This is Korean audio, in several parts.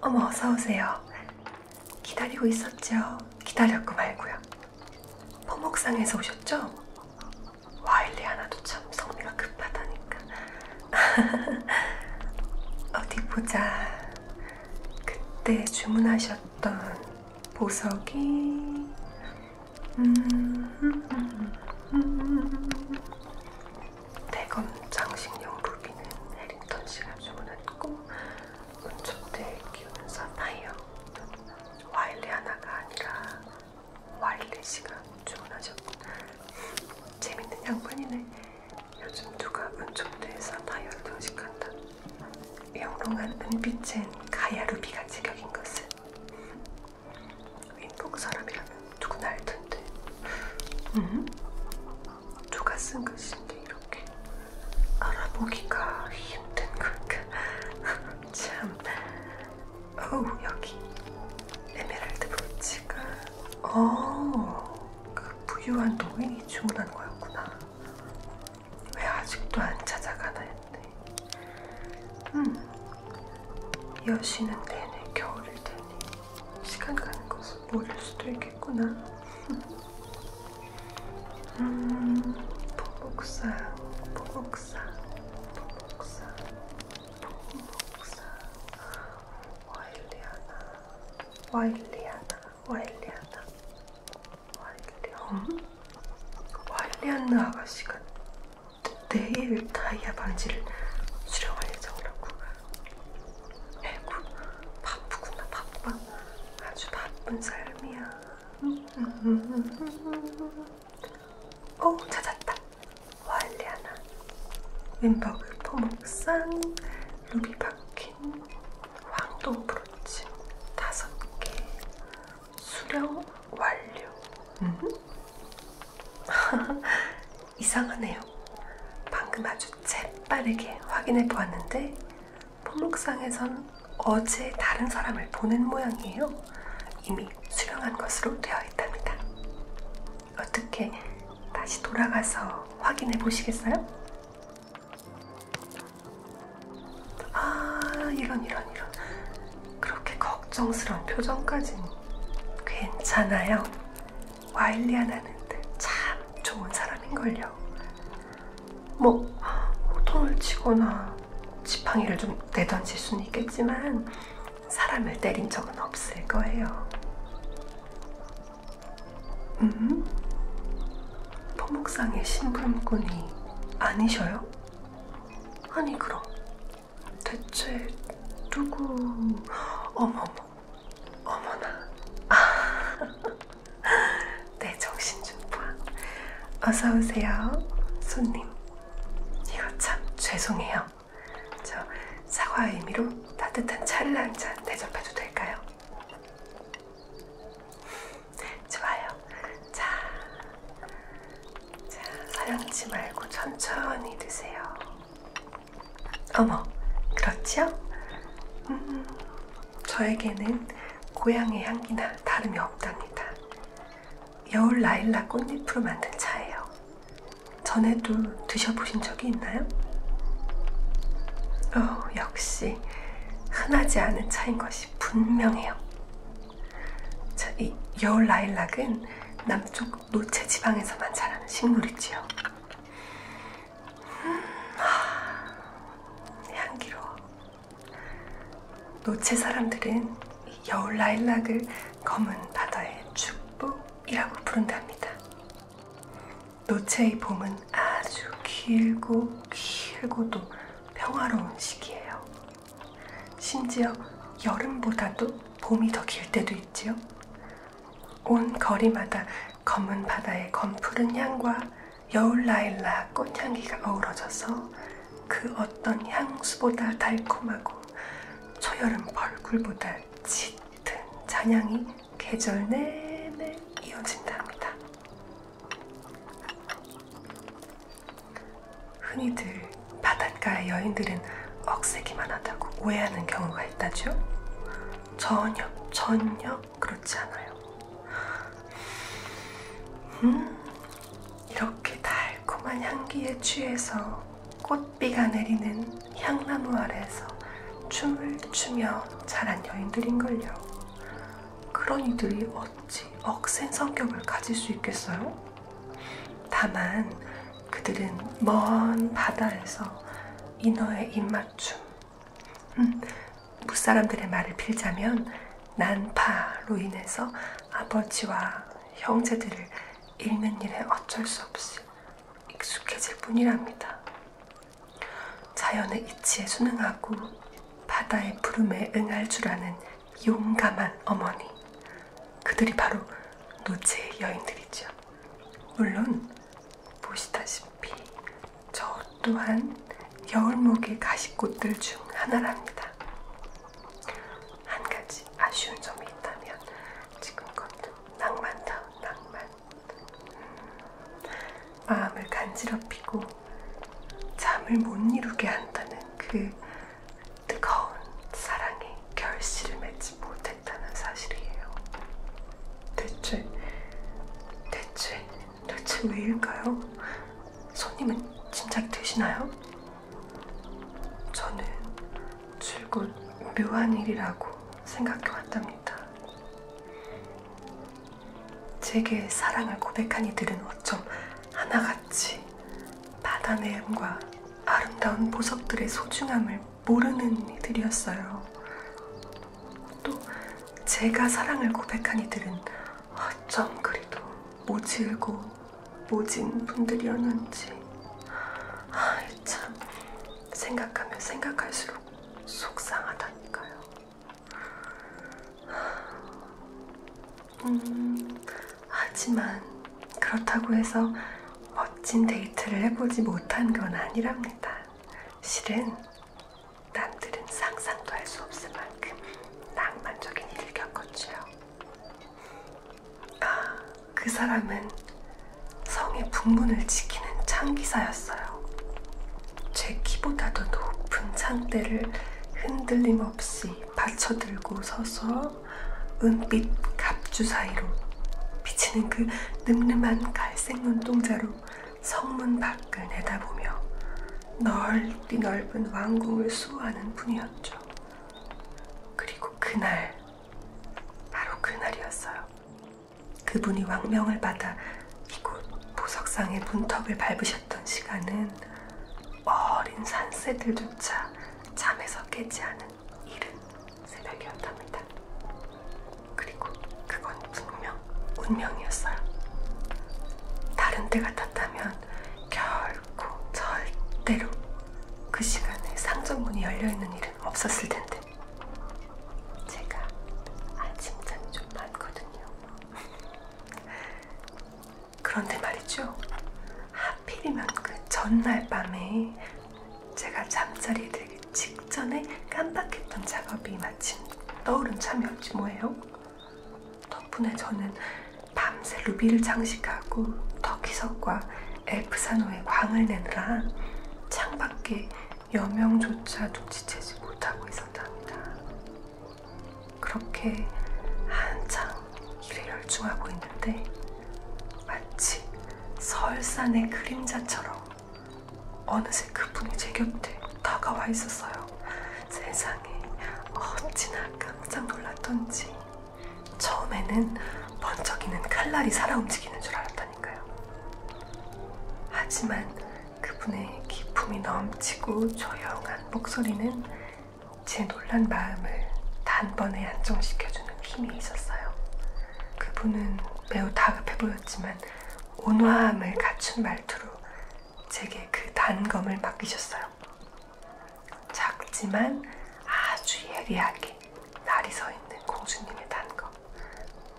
어머 어서 오세요. 기다리고 있었죠. 기다렸고 말고요. 포목상에서 오셨죠? 와일리 하나도 참 성미가 급하다니까. 어디 보자. 그때 주문하셨던 보석이 대검 장식용 루비는 해링턴 씨가 주문했고 은초대 키우는 사파이어 와일리 하나가 아니라 와일리 씨가 주문하셨고 재밌는 양반이네. 요즘 누가 은초대에 사파이어를 장식한다. 영롱한 은빛엔 가야루비가 제격인 것은 윈북 사람이라면 누구나 알 텐데. 음? 누가 쓴 글씨인데 이렇게 알아보기가 힘든 걸까? 참. 어우 여기 에메랄드 브로치가. 어, 그 부유한 노인이 주문한 거였구나. 왜 아직도 안 찾아가나 했네. 음, 여신은 내내 겨울일 테니 시간 가는 것을 모를 수도 있겠구나. 음, 보복상, 보복상, 보복상, 보복상, 와일리아나, 와일리아나, 와일리아나. 완령? 완리안느 어? 아가씨가 내일 다이아 반지를 수령할 예정이라고. 에구, 뭐, 바쁘구나, 바빠. 아주 바쁜 삶이야. 오, 어, 찾았다. 완리안아. 왼박을 포목산, 루비 박힌, 황동 브로치 다섯 개, 수령 완료. 음? 이상하네요. 방금 아주 재빠르게 확인해 보았는데 목록상에선 어제 다른 사람을 보낸 모양이에요. 이미 수령한 것으로 되어 있답니다. 어떻게 다시 돌아가서 확인해 보시겠어요? 아, 이런, 이런, 이런. 그렇게 걱정스러운 표정까지는 괜찮아요. 와일리아나는 참 좋은 사람인걸요. 뭐, 호통을 뭐 치거나 지팡이를 좀 내던질 수는 있겠지만, 사람을 때린 적은 없을 거예요. 음? 토목상의 신부름꾼이 아니셔요? 아니 그럼 대체 누구... 어머머 어머나 아, 내 정신준파 어서오세요 손님 이거 참 죄송해요 저 사과의 의미로 따뜻한 차를 한잔 대접해도 될까요? 좋아요. 자, 자 서연치 말고 천천히 드세요. 어머, 그렇지요? 음, 저에게는 고향의 향기나 다름이 없답니다. 여울 라일락 꽃잎으로 만든 차예요. 전에도 드셔보신 적이 있나요? 어, 역시 흔하지 않은 차인 것이. 것이 분명해요. 자, 이 여울 라일락은 남쪽 노채 지방에서만 자라는 식물이지요. 음, 하, 향기로워. 노채 사람들은 여울 라일락을 검은 바다의 축복이라고 부른답니다. 노채의 봄은 아주 길고 길고도 평화로운 시기예요. 심지어 여름보다도 봄이 더 길 때도 있지요. 온 거리마다 검은 바다의 검푸른 향과 여울 라일락 꽃향기가 어우러져서 그 어떤 향수보다 달콤하고 초여름 벌꿀보다 짙은 잔향이 계절 내내 이어진답니다. 흔히들 바닷가의 여인들은 억세기만 하다고 오해하는 경우가 있다죠? 전혀, 전혀 그렇지 않아요. 음, 이렇게 달콤한 향기에 취해서 꽃비가 내리는 향나무 아래에서 춤을 추며 자란 여인들인걸요. 그런 이들이 어찌 억센 성격을 가질 수 있겠어요? 다만 그들은 먼 바다에서 인어의 입맞춤, 음, 무사람들의 말을 빌자면 난파로 인해서 아버지와 형제들을 잃는 일에 어쩔 수 없이 익숙해질 뿐이랍니다. 자연의 이치에 순응하고 바다의 부름에 응할 줄 아는 용감한 어머니. 그들이 바로 노제의 여인들이죠. 물론 보시다시피 저 또한 여울목의 가시꽃들 중 하나랍니다. 한 가지 아쉬운 점이 있다면 지금껏 낭만다운 낭만. 음, 마음을 간지럽히고 잠을 못 이루게 한다는 그 뜨거운 사랑이 결실을 맺지 못했다는 사실이에요. 대체, 대체, 대체 왜일까요? 손님은 진작 되시나요? 저는 줄곧 묘한 일이라고 생각해 왔답니다. 제게 사랑을 고백한 이들은 어쩜 하나같이 바다의 음과 아름다운 보석들의 소중함을 모르는 이들이었어요. 또 제가 사랑을 고백한 이들은 어쩜 그리도 모질고 모진 분들이었는지 아이 참 생각하면 생각할수록 속상하다니까요. 음, 하지만 그렇다고 해서 멋진 데이트를 해보지 못한 건 아니랍니다. 실은 남들은 상상도 할 수 없을 만큼 낭만적인 일을 겪었지요. 아, 그 사람은 성의 북문을 지키는 창기사였어요. 제 키보다도 높은 창대를 흔들림 없이 받쳐들고 서서 은빛 갑주 사이로 비치는 그 늠름한 갈색 눈동자로 성문 밖을 내다보며 넓디 넓은 왕궁을 수호하는 분이었죠. 그리고 그날, 바로 그날이었어요. 그분이 왕명을 받아 이곳 보석상의 문턱을 밟으셨던 시간은 어린 산새들조차 잠에서 깨지 않은 이른 새벽이었답니다. 그리고 그건 분명 운명이었어요. 다른 때 같았다면 결코 절대로 그 시간에 상점문이 열려있는 일은 없었을 텐데 제가 아침잠이 좀 많거든요. 있거든요. 그런데 말이죠. 하필이면 그 전날 밤에 제가 잠자리에 들기 직전에 깜빡했던 작업이 마침 떠오른 참이었지 뭐예요. 덕분에 저는 밤새 루비를 장식하고 터키석과 엘프산호의 광을 내느라 창밖에 여명조차도 지체지 못하고 있었답니다. 그렇게 한창 일에 열중하고 있는데 마치 설산의 그림자처럼 어느새 그분이 제 곁에 다가와 있었어요. 세상에 어찌나 깜짝 놀랐던지 처음에는 번쩍이는 칼날이 살아 움직이는 줄 알았다니까요. 하지만 그분의 기품이 넘치고 조용한 목소리는 제 놀란 마음을 단번에 안정시켜주는 힘이 있었어요. 그분은 매우 다급해 보였지만 온화함을 갖춘 말투로 제게 그 단검을 맡기셨어요. 작지만 아주 예리하게 날이 서 있는 공주님의 단검.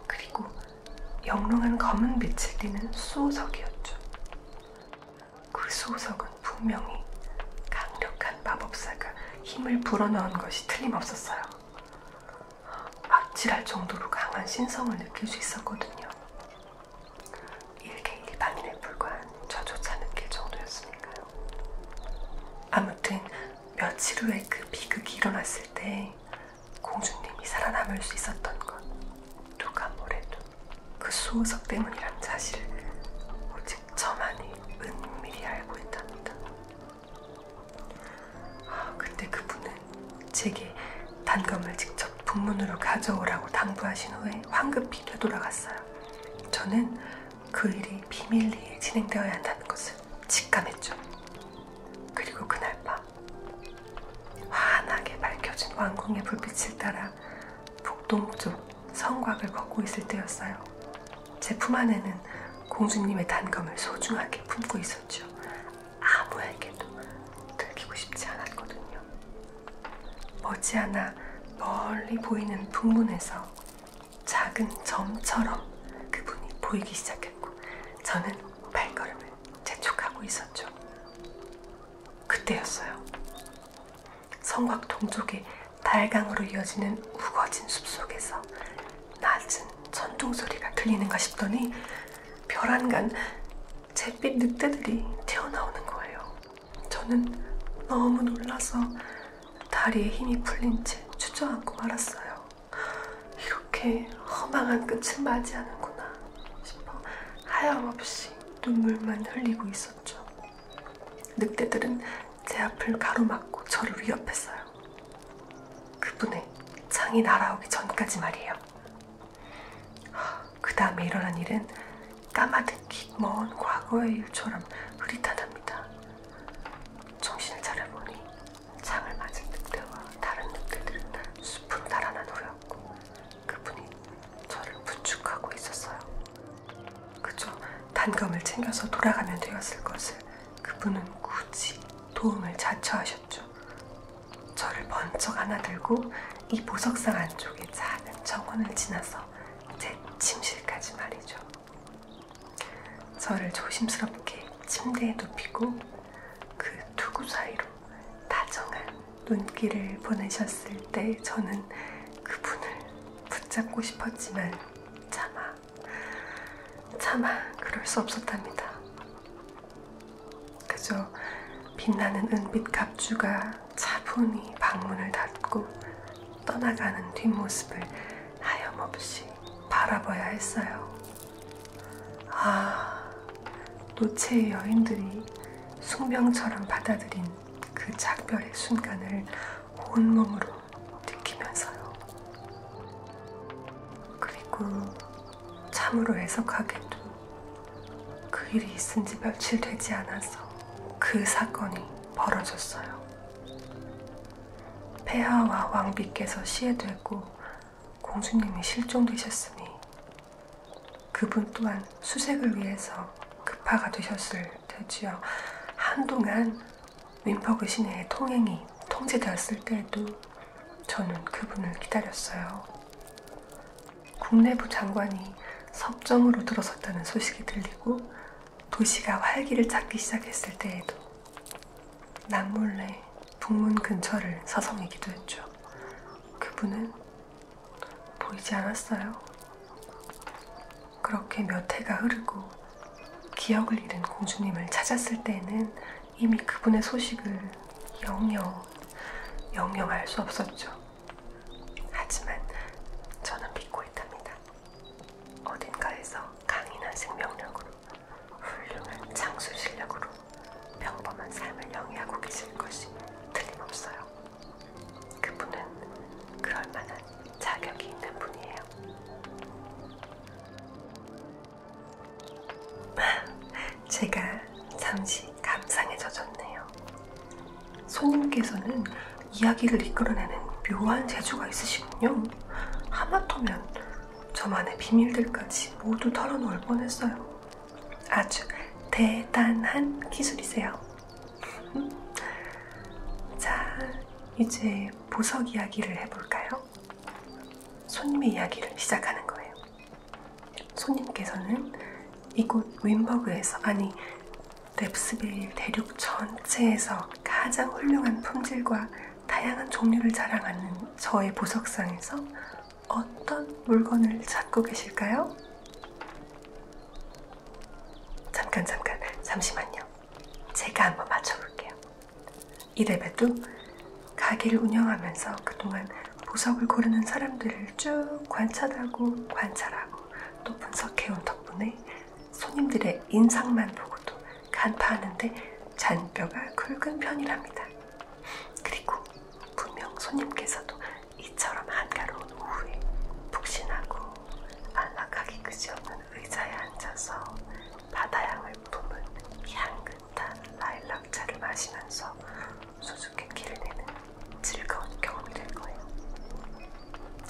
그리고 영롱한 검은 빛을 띠는 수호석이었죠. 그 수호석은 분명히 강력한 마법사가 힘을 불어넣은 것이 틀림없었어요. 아찔할 정도로 강한 신성을 느낄 수 있었거든요. 일개 일반인에 불과한 저조차 느낄 정도였으니까요. 아무튼 며칠 후에 그 비극이 일어났을 때 공주님이 살아남을 수 있었던 건 누가 뭐래도 그 수호석 때문이란 사실을 오직 저만이 은밀히 알고 있답니다. 아, 근데 그분은 제게 단검을 직접 북문으로 가져오라고 당부하신 후에 황급히 되돌아갔어요. 저는 그 일이 비밀리에 진행되어야 한다는 것을 직감했죠. 그리고 그날 밤 환하게 밝혀진 왕궁의 불빛을 따라 북동쪽 성곽을 걷고 있을 때였어요. 제품 안에는 공주님의 단검을 소중하게 품고 있었죠. 아무에게도 들키고 싶지 않았거든요. 머지않아 멀리 보이는 풍문에서 작은 점처럼 그분이 보이기 시작했고 저는 발걸음을 재촉하고 있었죠. 그때였어요. 성곽 동쪽에 달강으로 이어지는 우거진 숲속에서 낮은 천둥 소리가 들리는가 싶더니 별안간 잿빛 늑대들이 튀어나오는 거예요. 저는 너무 놀라서 다리에 힘이 풀린 채 주저앉고 말았어요. 이렇게 허망한 끝을 맞이하는구나 싶어 하염없이 눈물만 흘리고 있었죠. 늑대들은 제 앞을 가로막고 저를 위협했어요. 그분의 창이 날아오기 전까지 말이에요. 그 다음에 일어난 일은 까마득히 먼 과거의 일처럼 흐릿하답니다. 정신을 차려보니 창을 맞은 늑대와 다른 늑대들은 숲으로 달아난 후였고 그분이 저를 부축하고 있었어요. 그저 단검을 챙겨서 돌아가면 되었을 것을 그분은 굳이 도움을 자처하셨죠. 저를 번쩍 안아들고 이 보석상 안쪽에 작은 정원을 지나서 제 침실까지 말이죠. 저를 조심스럽게 침대에 눕히고 그 투구 사이로 다정한 눈길을 보내셨을 때 저는 그분을 붙잡고 싶었지만 차마, 차마 그럴 수 없었답니다. 그저 빛나는 은빛 갑주가 차분히 방문을 닫고 떠나가는 뒷모습을 하염없이 바라봐야 했어요. 아, 노체의 여인들이 숭병처럼 받아들인 그 작별의 순간을 온몸으로 느끼면서요. 그리고 참으로 애석하게도 그 일이 있은 지 며칠 되지 않아서 그 사건이 벌어졌어요. 폐하와 왕비께서 시해되고 공주님이 실종되셨으니 그분 또한 수색을 위해서 급파가 되셨을 테지요. 한동안 윈퍼그 시내의 통행이 통제되었을 때에도 저는 그분을 기다렸어요. 국내부 장관이 섭정으로 들어섰다는 소식이 들리고 도시가 활기를 찾기 시작했을 때에도 나 몰래 북문 근처를 사성이기도 했죠. 그분은 보이지 않았어요. 그렇게 몇 해가 흐르고 기억을 잃은 공주님을 찾았을 때에는 이미 그분의 소식을 영영, 영영 알 수 없었죠. 하지만 저는 믿고 있답니다. 어딘가에서 강인한 생명력으로 훌륭한 창술 실력으로 평범한 삶을 영위하고 계실 것이 틀림없어요. 그분은 그럴 만한 자격이 있는 분이에요. 제가 잠시 감상에 젖었네요. 손님께서는 이야기를 이끌어내는 묘한 재주가 있으시군요. 하마터면 저만의 비밀들까지 모두 털어놓을 뻔했어요. 아주 대단한 기술이세요. 자, 이제 보석 이야기를 해볼까요? 손님의 이야기를 시작하는 거예요. 손님께서는 이곳 윈버그에서, 아니, 랩스빌 대륙 전체에서 가장 훌륭한 품질과 다양한 종류를 자랑하는 저의 보석상에서 어떤 물건을 찾고 계실까요? 잠깐 잠깐 잠시만요. 제가 한번 맞춰볼게요. 이래봬도 가게를 운영하면서 그동안 보석을 고르는 사람들을 쭉 관찰하고 관찰하고 또 분석해온 덕분에 손님들의 인상만 보고도 간파하는데 잔뼈가 굵은 편이랍니다. 그리고 분명 손님께서도 이처럼 한가로운 오후에 푹신하고 안락하기 그지없는 의자에 앉아서 바다향을 품은 향긋한 라일락차를 마시면서 수수께끼를 내는 즐거운 경험이 될 거예요.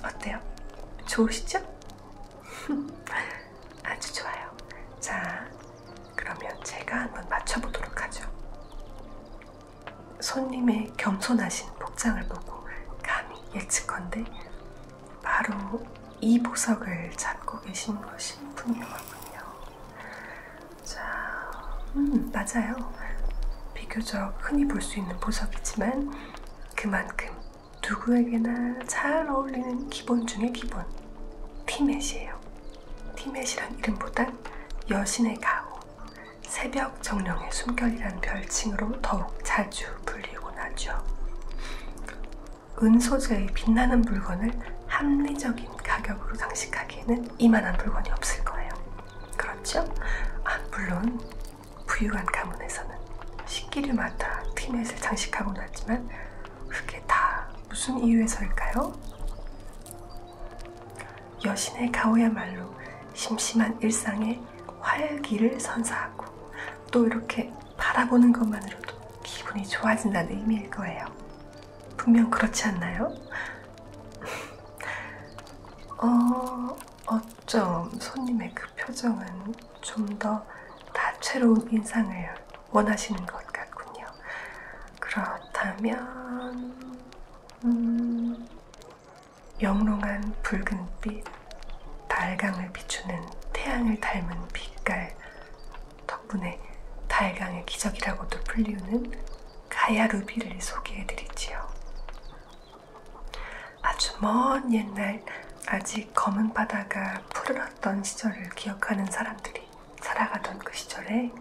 어때요? 좋으시죠? 아주 좋아요. 자, 그러면 제가 한번 맞춰보도록 하죠. 손님의 겸손하신 복장을 보고 감히 예측건데 바로 이 보석을 찾고 계신 것이 분명하군요. 자, 음, 맞아요. 비교적 흔히 볼 수 있는 보석이지만 그만큼 누구에게나 잘 어울리는 기본 중의 기본, 티맷이에요. 티맷이란 이름보단 여신의 가오, 새벽 정령의 숨결이란 별칭으로 더욱 자주 불리곤 하죠. 은 소재의 빛나는 물건을 합리적인 가격으로 장식하기에는 이만한 물건이 없을 거예요. 그렇죠? 아, 물론 부유한 가문에서는 식기를 맡아 티넷을 장식하고 났지만 그게 다 무슨 이유에서일까요? 여신의 가오야말로 심심한 일상에 활기를 선사하고 또 이렇게 바라보는 것만으로도 기분이 좋아진다는 의미일 거예요. 분명 그렇지 않나요? 어, 어쩜 손님의 그 표정은 좀더 다채로운 인상을 원하시는 것 같군요. 그렇다면, 음, 영롱한 붉은빛, 달강을 비추는 태양을 닮은 빛깔, 덕분에 달강의 기적이라고도 불리우는 가야루비를 소개해드리지요. 아주 먼 옛날 아직 검은 바다가 푸르렀던 시절을 기억하는 사람들이 살아가던 그 시절에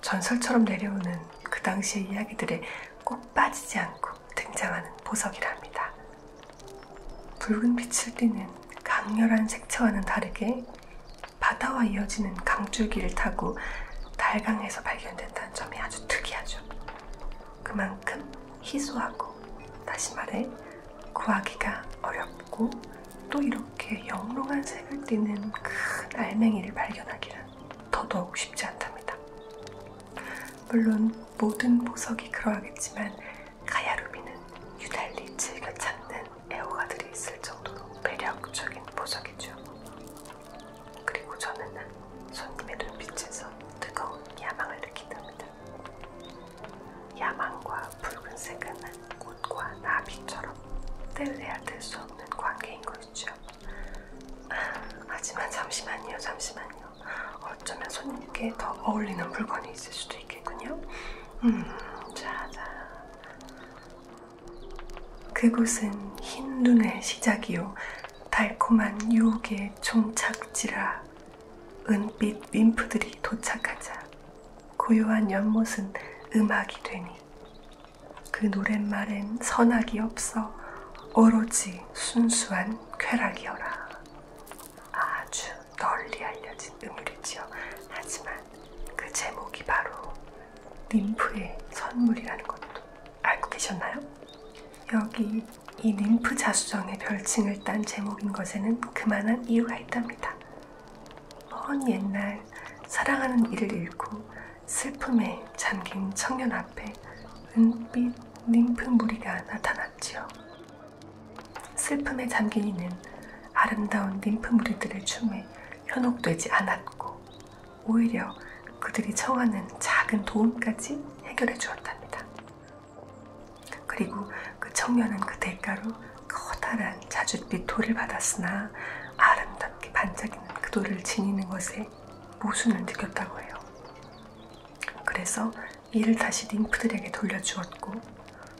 전설처럼 내려오는 그 당시의 이야기들에 꼭 빠지지 않고 등장하는 보석이랍니다. 붉은 빛을 띠는 강렬한 색채와는 다르게 바다와 이어지는 강줄기를 타고 달강에서 발견됐다는 점이 아주 특이하죠. 그만큼 희소하고 다시 말해 구하기가 어렵고 또 이렇게 영롱한 색을 띠는 큰 알맹이를 발견하기란 더더욱 쉽지 않답니다. 물론 모든 보석이 그러하겠지만 가야루비는 유달리 즐겨 찾는 애호가들이 있을 정도로 매력적인 보석이죠. 그리고 저는 손님의 눈빛에서 뜨거운 야망을 느낀답니다. 야망과 붉은색은 꽃과 나비처럼 떼려야 수 없는 관계인 것이죠. 아, 하지만 잠시만요, 잠시만요. 어쩌면 손님께 더 어울리는 물건이 있을 수도 있겠군요. 음, 자, 자. 그곳은 흰 눈의 시작이요. 달콤한 유혹의 종착지라 은빛 윈프들이 도착하자 고요한 연못은 음악이 되니 그 노랫말엔 선악이 없어 오로지 순수한 쾌락이어라. 아주 널리 알려진 음률이지요. 하지만 그 제목이 바로 님프의 선물이라는 것도 알고 계셨나요? 여기 이 림프 자수정의 별칭을 딴 제목인 것에는 그만한 이유가 있답니다. 먼 옛날 사랑하는 이를 잃고 슬픔에 잠긴 청년 앞에 은빛 림프 무리가 나타났지요. 슬픔에 잠긴 이는 아름다운 림프 무리들의 춤에 현혹되지 않았고 오히려 그들이 청하는 작은 도움까지 해결해 주었답니다. 그리고 그 청년은 그 대가로 커다란 자줏빛 돌을 받았으나 아름답게 반짝이는 그 돌을 지니는 것에 모순을 느꼈다고 해요. 그래서 이를 다시 림프들에게 돌려주었고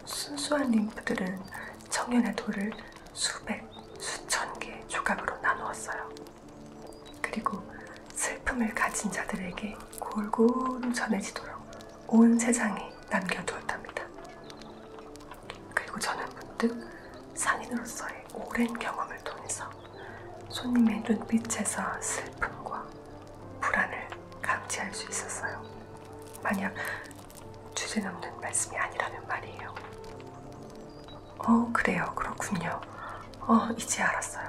순수한 림프들은 청년의 돌을 수백, 수천 개의 조각으로 나누었어요. 그리고 슬픔을 가진 자들에게 골고루 전해지도록 온 세상에 남겨두었답니다. 그리고 저는 문득 상인으로서의 오랜 경험을 통해서 손님의 눈빛에서 슬픔과 불안을 감지할 수 있었어요. 만약 주제넘는 말씀이 아니라면 말이에요. 어, 그래요. 그렇군요. 어, 이제 알았어요.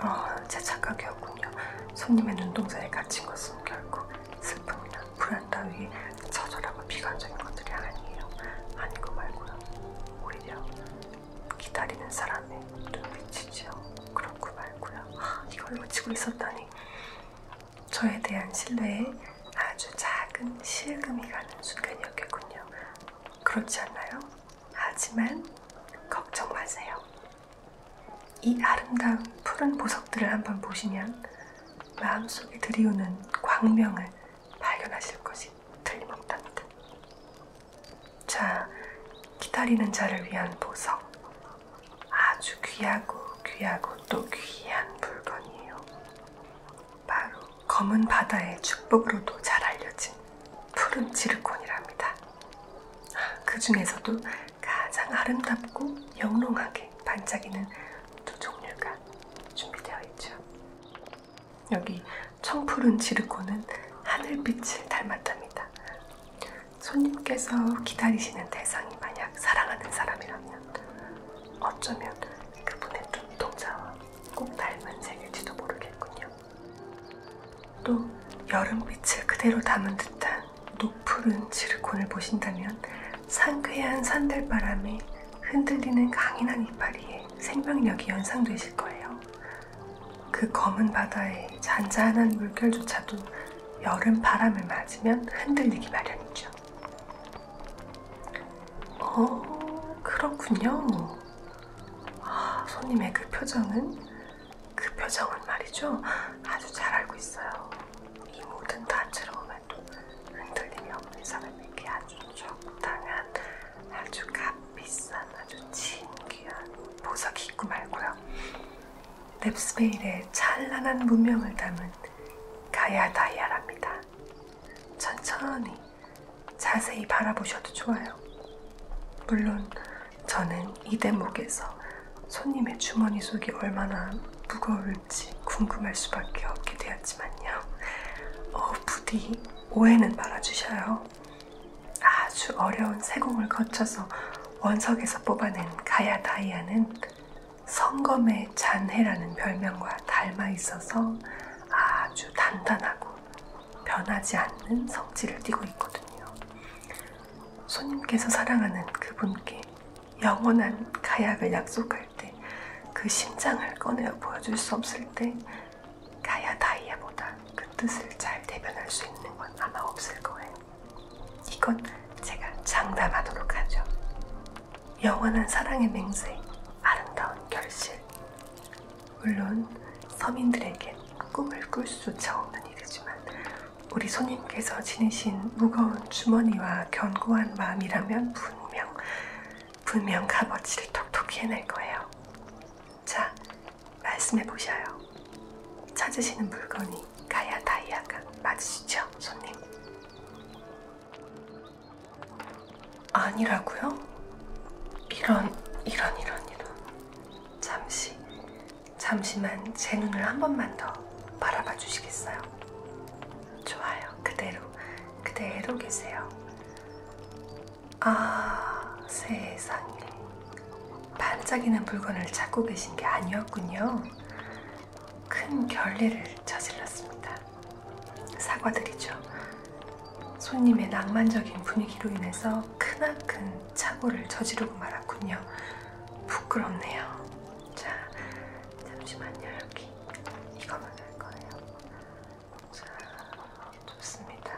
어, 제 착각이었군요. 손님의 눈동자에 갇힌 것은 결코 슬픔이나 불안 따위 처절하고 비관적인 것들이 아니에요. 아닌 거 말고요. 오히려 기다리는 사람의 눈빛이지요. 그렇고 말고요. 아, 이걸 놓치고 있었다니. 저에 대한 신뢰에 아주 작은 실금이 가는 순간이었겠군요. 그렇지 않나요? 하지만 걱정 마세요. 이 아름다운 푸른 보석들을 한번 보시면 마음속에 들이오는 광명을 발견하실 것이 틀림없답니다. 자, 기다리는 자를 위한 보석. 아주 귀하고 귀하고 또 귀한 물건이에요. 바로 검은 바다의 축복으로도 잘 알려진 푸른 지르콘이랍니다. 그 중에서도 가장 아름답고 영롱하게 반짝이는 두 종류가 준비되어 있죠. 여기 청푸른 지르콘은 하늘빛을 닮았답니다. 손님께서 기다리시는 대상이 만약 사랑하는 사람이라면 어쩌면 그분의 눈동자와 꼭 닮은 색일지도 모르겠군요. 또 여름빛을 그대로 담은 듯한 녹푸른 지르콘을 보신다면 상쾌한 산들바람에 흔들리는 강인한 이파리에 생명력이 연상되실 거예요. 그 검은 바다의 잔잔한 물결조차도 여름 바람을 맞으면 흔들리기 마련이죠. 어, 그렇군요. 아, 손님의 그 표정은 그 표정은 말이죠. 아주 잘 알고 있어요. 이 모든 다채로움에도 흔들림이 없는 사람에게 아주 적당한 아주 값비싼 아주 진귀한 보석 입고 말고요. 넵스베일의 찬란한 문명을 담은 가야 다이아랍니다. 천천히 자세히 바라보셔도 좋아요. 물론 저는 이 대목에서 손님의 주머니 속이 얼마나 무거울지 궁금할 수밖에 없게 되었지만요. 어, 부디 오해는 말아주셔요. 아주 어려운 세공을 거쳐서 원석에서 뽑아낸 가야 다이아는 성검의 잔해라는 별명과 닮아 있어서 아주 단단하고 변하지 않는 성질을 띠고 있거든요. 손님께서 사랑하는 그분께 영원한 가약을 약속할 때 그 심장을 꺼내어 보여줄 수 없을 때 가야 다이아보다 그 뜻을 잘 대변할 수 있는 건 아마 없을 거예요. 이건 제가 장담하도록 하죠. 영원한 사랑의 맹세, 아름다운 결실. 물론 서민들에게 꿈을 꿀 수조차 없는 일이지만 우리 손님께서 지니신 무거운 주머니와 견고한 마음이라면 분명 분명 값어치를 톡톡히 해낼 거예요. 자, 말씀해 보셔요. 찾으시는 물건이 가야 다이아가 맞으시죠, 손님? 아니라고요? 이런, 이런, 이런, 이런. 잠시, 잠시만 제 눈을 한 번만 더 바라봐 주시겠어요? 좋아요. 그대로, 그대로 계세요. 아, 세상에. 반짝이는 물건을 찾고 계신 게 아니었군요. 큰 결례를 저질렀습니다. 사과드리죠. 손님의 낭만적인 분위기로 인해서 크나큰 착오를 저지르고 말았군요. 부끄럽네요. 자, 잠시만요. 여기 이거만 할 거예요. 자, 좋습니다.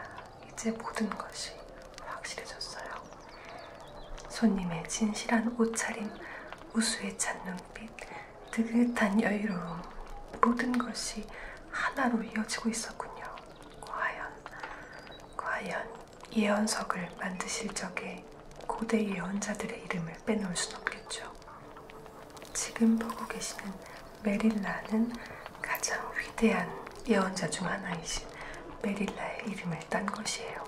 이제 모든 것이 확실해졌어요. 손님의 진실한 옷차림, 우수에 찬 눈빛, 느긋한 여유로움, 모든 것이 하나로 이어지고 있었군요. 과연, 과연 예언석을 만드실 적에 고대 예언자들의 이름을 빼놓을 순 없겠죠. 지금 보고 계시는 메릴라는 가장 위대한 예언자 중 하나이신 메릴라의 이름을 딴 것이에요.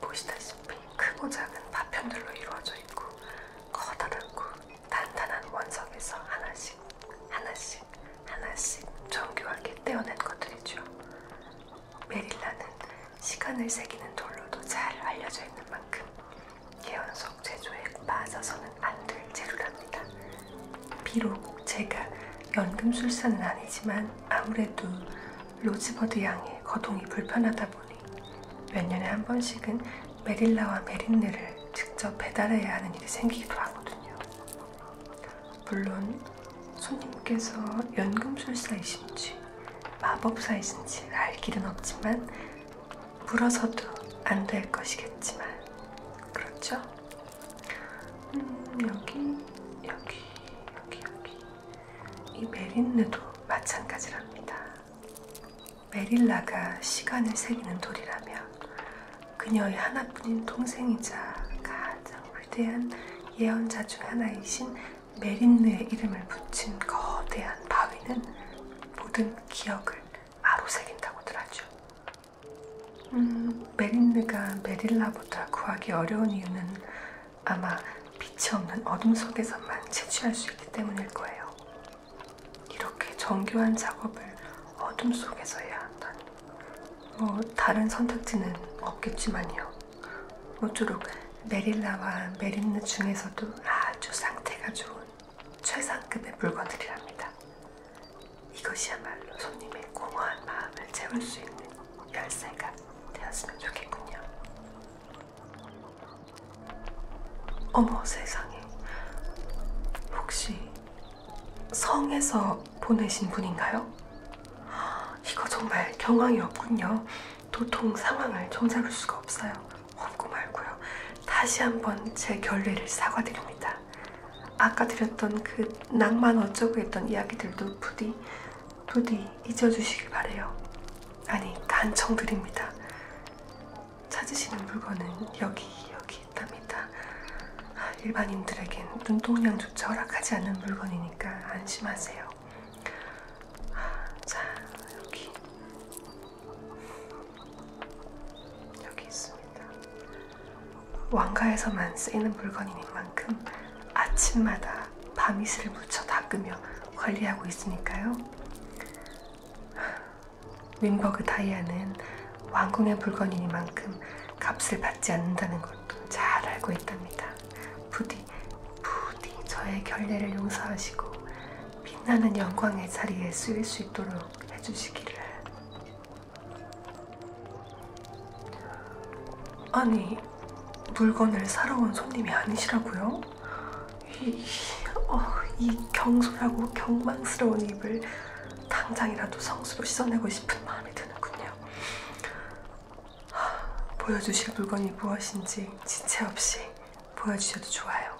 보시다시피 크고 작은 파편들로 이루어져 있고 커다랗고 단단한 원석에서 하나씩 하나씩 하나씩 정교하게 떼어낸 것들이죠. 메릴라는 시간을 새기는 돌로도 잘 알려져 있는 만큼 개연석 제조에 빠져서는 안 될 재료랍니다. 비록 제가 연금술사는 아니지만 아무래도 로즈버드 양의 거동이 불편하다 보니 몇 년에 한 번씩은 메릴라와 메린느를 직접 배달해야 하는 일이 생기기도 하거든요. 물론 손님께서 연금술사이신지 마법사이신지 알 길은 없지만 물어서도 안 될 것이겠지만 그렇죠? 음, 여기 여기 여기 여기 이 메린느도 마찬가지랍니다. 메릴라가 시간을 새기는 돌이라며 그녀의 하나뿐인 동생이자 가장 위대한 예언자 중 하나이신 메린느의 이름을 붙인 거대한 바위는 모든 기억을 마로새긴다고들 하죠. 음, 메린느가 메릴라보다 구하기 어려운 이유는 아마 빛이 없는 어둠 속에서만 채취할 수 있기 때문일 거예요. 이렇게 정교한 작업을 어둠 속에서 해야 한다니. 뭐 다른 선택지는 없겠지만요. 모쪼록 메릴라와 메린느 중에서도 아주 상태가 좋은 최상급의 물건들이랍니다. 이것이야말로 손님의 공허한 마음을 채울 수 있는 열쇠가 되었으면 좋겠군요. 어머 세상에. 혹시 성에서 보내신 분인가요? 이거 정말 경황이 없군요. 도통 상황을 종잡을 수가 없어요. 없고 말고요. 다시 한번 제 결례를 사과드립니다. 아까 드렸던 그 낭만 어쩌고 했던 이야기들도 부디 부디 잊어주시길 바래요. 아니 간청드립니다. 찾으시는 물건은 여기 여기 있답니다. 아, 일반인들에겐 눈동량조차 허락하지 않는 물건이니까 안심하세요. 아, 자, 여기 여기 있습니다. 왕가에서만 쓰이는 물건인 만큼 아침마다 밤이슬을 묻혀 닦으며 관리하고 있으니까요. 윈버그 다이아는 왕궁의 물건이니만큼 값을 받지 않는다는 것도 잘 알고 있답니다. 부디, 부디 저의 결례를 용서하시고 빛나는 영광의 자리에 쓰일 수 있도록 해주시기를. 아니, 물건을 사러 온 손님이 아니시라고요? 이, 어, 이 경솔하고 경망스러운 입을 당장이라도 성수로 씻어내고 싶은 마음이 드는군요. 보여주실 물건이 무엇인지 지체 없이 보여주셔도 좋아요.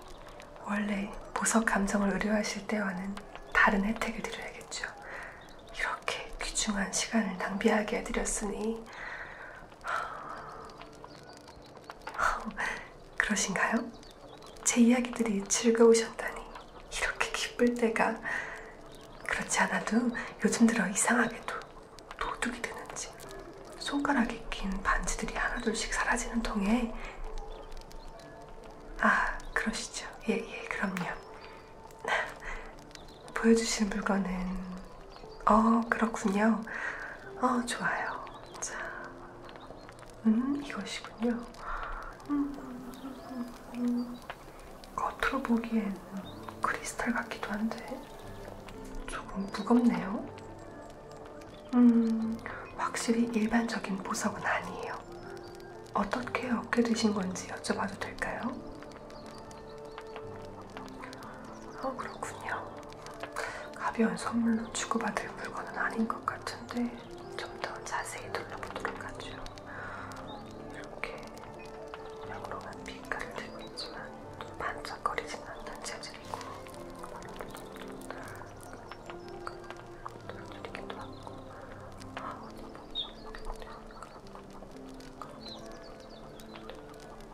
원래 보석 감정을 의뢰하실 때와는 다른 혜택을 드려야겠죠. 이렇게 귀중한 시간을 낭비하게 해드렸으니 그러신가요? 제 이야기들이 즐거우셨다니 이렇게 기쁠 때가 그렇지 않아도 요즘 들어 이상하게도 도둑이 되는지 손가락에 낀 반지들이 하나둘씩 사라지는 통에 아 그러시죠 예예 예, 그럼요 보여주실 물건은 어 그렇군요 어 좋아요 자 음, 이것이군요. 음, 음, 음. 겉으로 보기엔 크리스탈 같기도 한데 조금 무겁네요. 음, 확실히 일반적인 보석은 아니에요. 어떻게 얻게 되신 건지 여쭤봐도 될까요? 어, 그렇군요. 가벼운 선물로 주고받을 물건은 아닌 것 같은데 좀 더 자세히 둘러보도록 하죠. 이렇게 역으로만 빛깔을 들고 있지만 또 반짝거리지는 않는 재질이고 이렇게도 하고 아, 어디 보죠?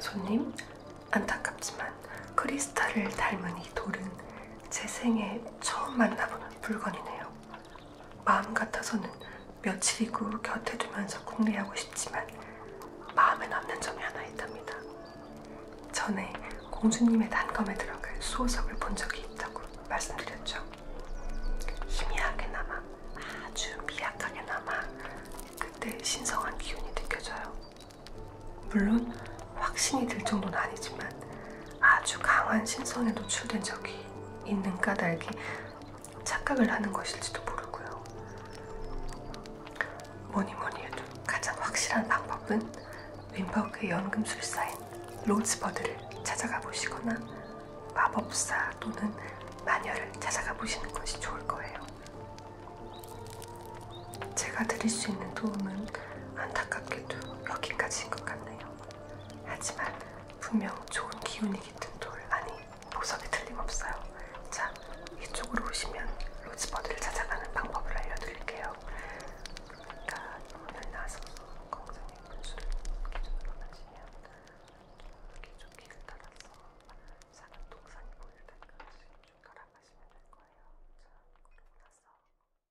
손님, 안타깝지만 크리스탈을 닮은 이 돌은 제 생에 처음 만나보는 물건이네요. 마음 같아서는 며칠이고 곁에 두면서 궁리하고 싶지만 마음에 남는 점이 하나 있답니다. 전에 공주님의 단검에 들어갈 수호석을 본 적이 있다고 말씀드렸죠. 희미하게나마 아주 미약하게나마 그때 신성한 기운이 느껴져요. 물론 확신이 들 정도는 아니지만 아주 강한 신성에 노출된 적이 있는 까닭에 착각을 하는 것일지도 모르고요. 뭐니 뭐니 해도 가장 확실한 방법은 윈버크의 연금술사인 로즈버드를 찾아가 보시거나 마법사 또는 마녀를 찾아가 보시는 것이 좋을 거예요. 제가 드릴 수 있는 도움은 안타깝게도 여기까지인 것 같네요. 하지만 분명 좋은 기운이 깃든 돌 아니 보석이 틀림없어요. 자 이쪽으로 오시면 로즈버드를 찾아가는 방법을 알려드릴게요. 그러니까 오늘 나서서 공장의 분수를 기준으로 맞으면 이쪽 길을 따라서 작은 동산이 보일 때까지 쭉 걸어가시면 될 거예요. 자 그리고 나서